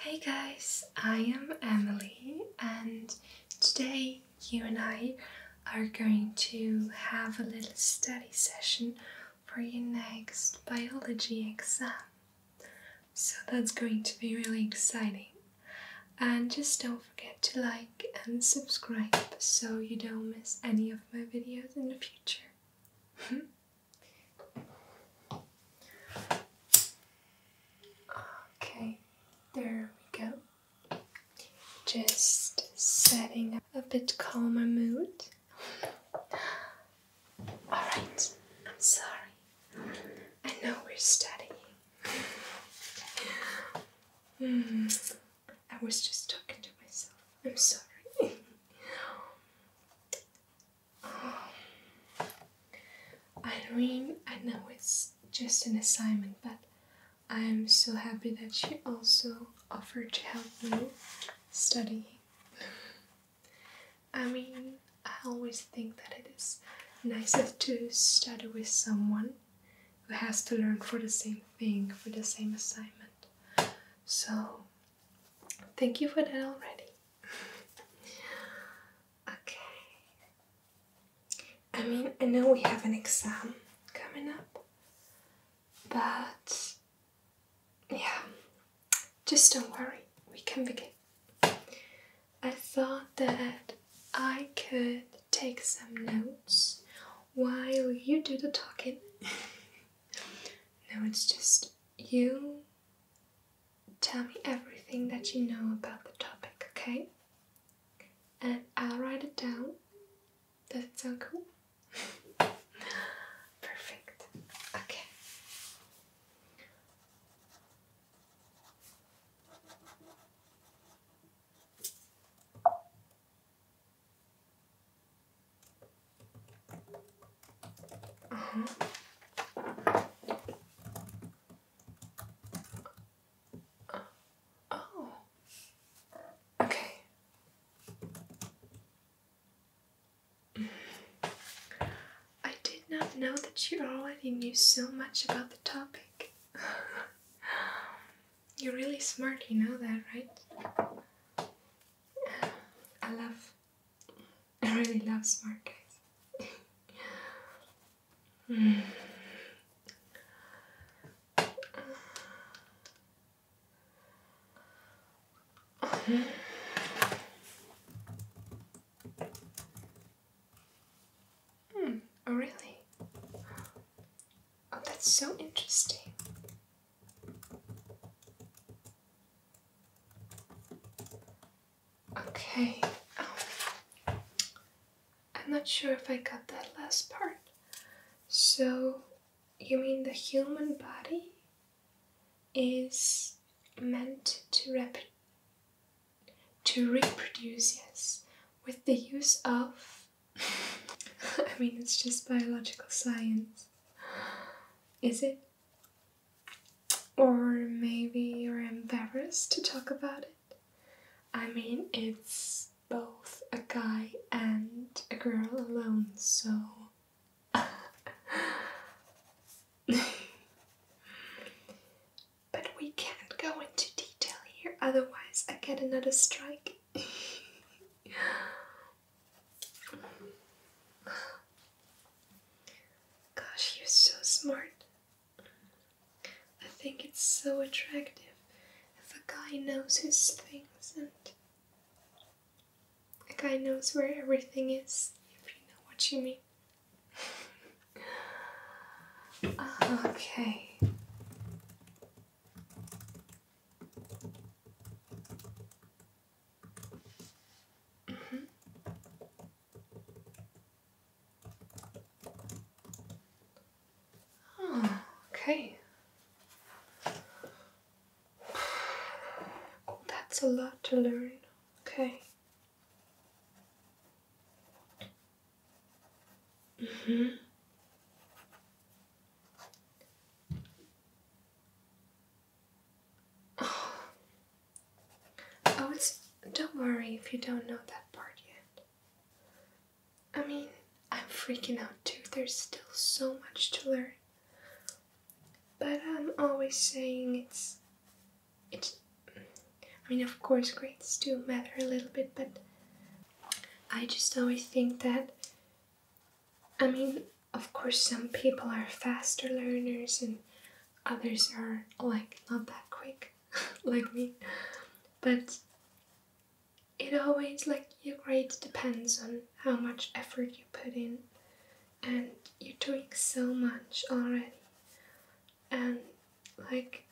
Hey guys, I am Emily, and today you and I are going to have a little study session for your next biology exam. So that's going to be really exciting and just don't forget to like and subscribe so you don't miss any of my videos in the future. okay, there we go. Just setting up a bit calmer mood. Alright, I'm sorry. I know we're studying, mm, I was just talking to myself. I'm sorry. um, Irene, I know it's just an assignment, but I'm so happy that she also offered to help me study. I mean, I always think that it is nicer to study with someone who has to learn for the same thing, for the same assignment. So, thank you for that already. okay. I mean, I know we have an exam coming up, but yeah, just don't worry, we can begin. I thought that I could take some notes while you do the talking. no, it's just you tell me everything that you know about the topic, okay? And I'll write it down. Does it sound cool? Perfect. Okay. Uh -huh. Oh. Okay. I did not know that you already knew so much about the topic. You're really smart, you know that, right? I love, I really love smart guys. Hmm, oh really? Oh, that's so interesting. Okay, oh. I'm not sure if I got that last part. So, you mean the human body is meant to, rep to reproduce, yes, with the use of. I mean, it's just biological science. Is it? Or maybe you're embarrassed to talk about it? I mean, it's both a guy and a girl alone, so but we can't go into detail here, otherwise, I get another strike. Gosh, you're so smart. I think it's so attractive if a guy knows his things and a guy knows where everything is, if you know what you mean. okay. Mm-hmm. Oh, okay. That's a lot to learn, okay. Mm -hmm. Oh, oh don't worry if you don't know that part yet. I mean, I'm freaking out too. There's still so much to learn. But I'm always saying it's it's I mean of course grades do matter a little bit but I just always think that I mean of course some people are faster learners and others are like not that quick like me but it always like your grade depends on how much effort you put in and you're doing so much already and like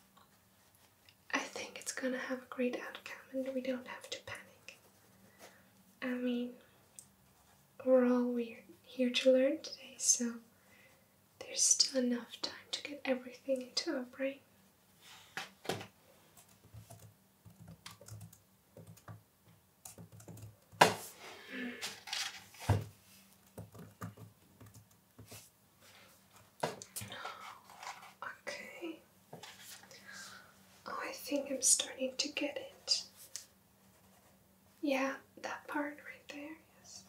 I think it's gonna have a great outcome and we don't have to panic. I mean we're all we're here to learn today so there's still enough time to get everything into our brain. Okay. Oh, I think I'm starting to get it. Yeah, that part right there, yes.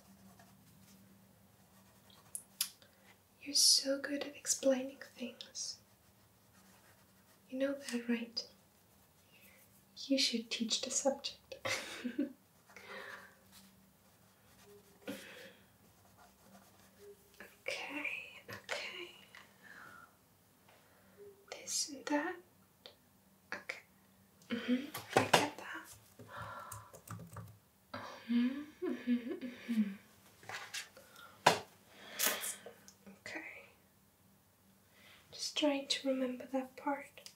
You're so good at explaining things. You know that, right? You should teach the subject. okay, okay. This and that. Okay. Mm -hmm. I get that okay. Just trying to remember that part.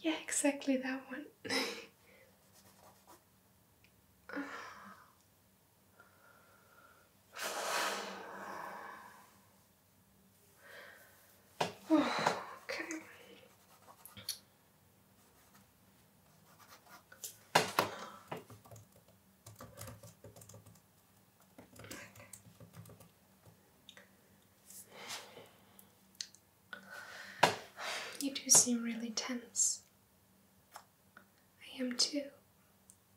Yeah, exactly that one. okay. You do seem really tense. I am too.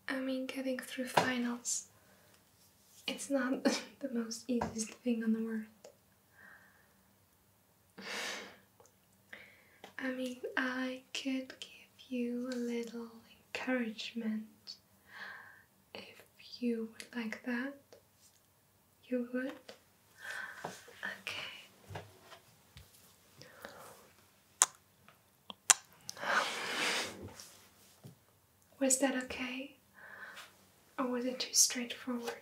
I mean, getting through finals, it's not the most easiest thing on the world. I mean, I could give you a little encouragement if you would like that. You would? Okay. Was that okay? Or was it too straightforward?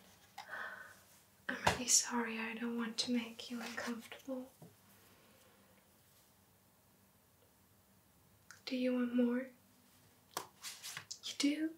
I'm really sorry, I don't want to make you uncomfortable. Do you want more? You do?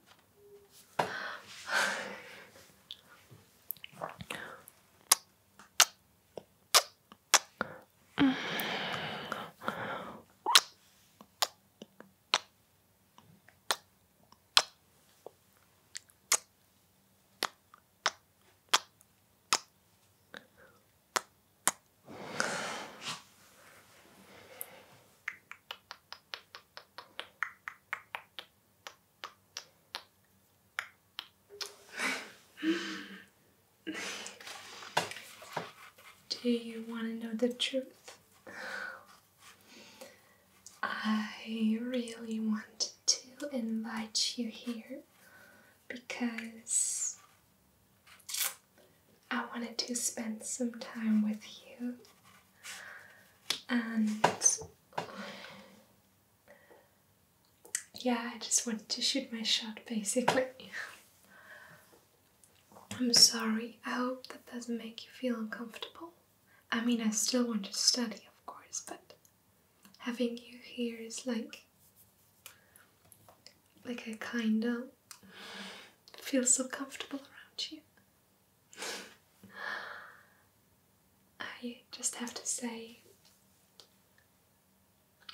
Do you want to know the truth? I really wanted to invite you here because I wanted to spend some time with you and yeah, I just wanted to shoot my shot basically. I'm sorry, I hope that doesn't make you feel uncomfortable. I mean, I still want to study, of course, but having you here is like. like I kinda feel so comfortable around you. I just have to say,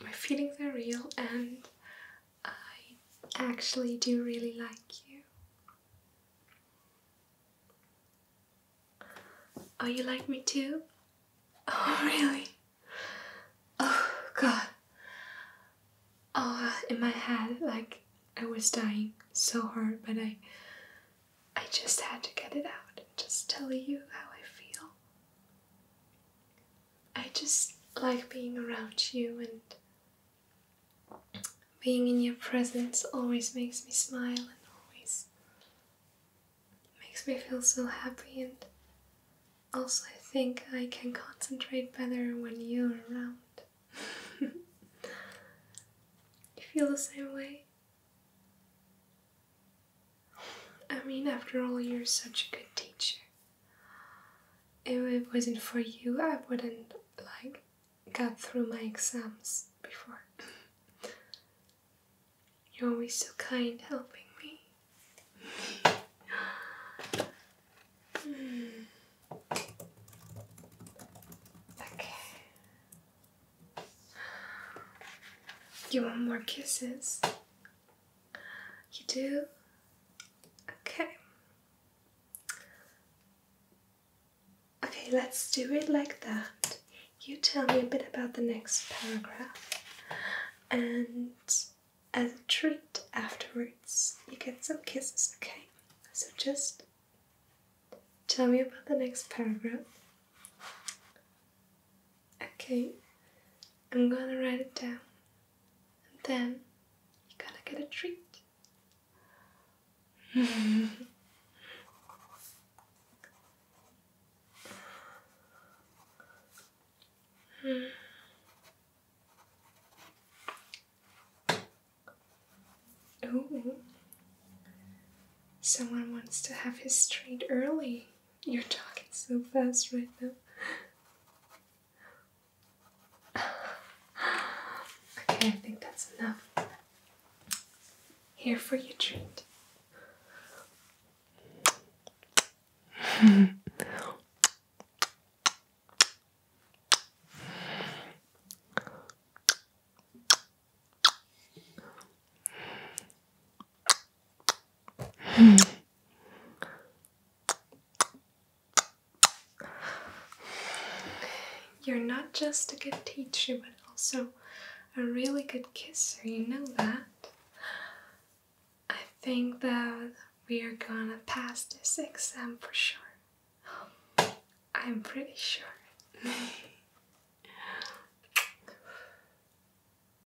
my feelings are real and I actually do really like you. Oh, you like me too? Oh, really? Oh, God. Oh, in my head, like I was dying so hard, but I, I just had to get it out and just tell you how I feel. I just like being around you and being in your presence always makes me smile and always makes me feel so happy and also I think I can concentrate better when you're around. you feel the same way? I mean, after all, you're such a good teacher. If it wasn't for you, I wouldn't like got through my exams before. You're always so kind helping me. mm. Okay. You want more kisses? You do? Okay. Okay, let's do it like that. You tell me a bit about the next paragraph, and as a treat afterwards, you get some kisses, okay? So just tell me about the next paragraph. Okay, I'm gonna write it down and then you're gonna get a treat. mm. Someone wants to have his treat early. You're talking so fast right now okay, I think that's enough. Here for your treat. You're not just a good teacher, but also a really good kisser, you know that. I think that we are gonna pass this exam for sure. I'm pretty sure.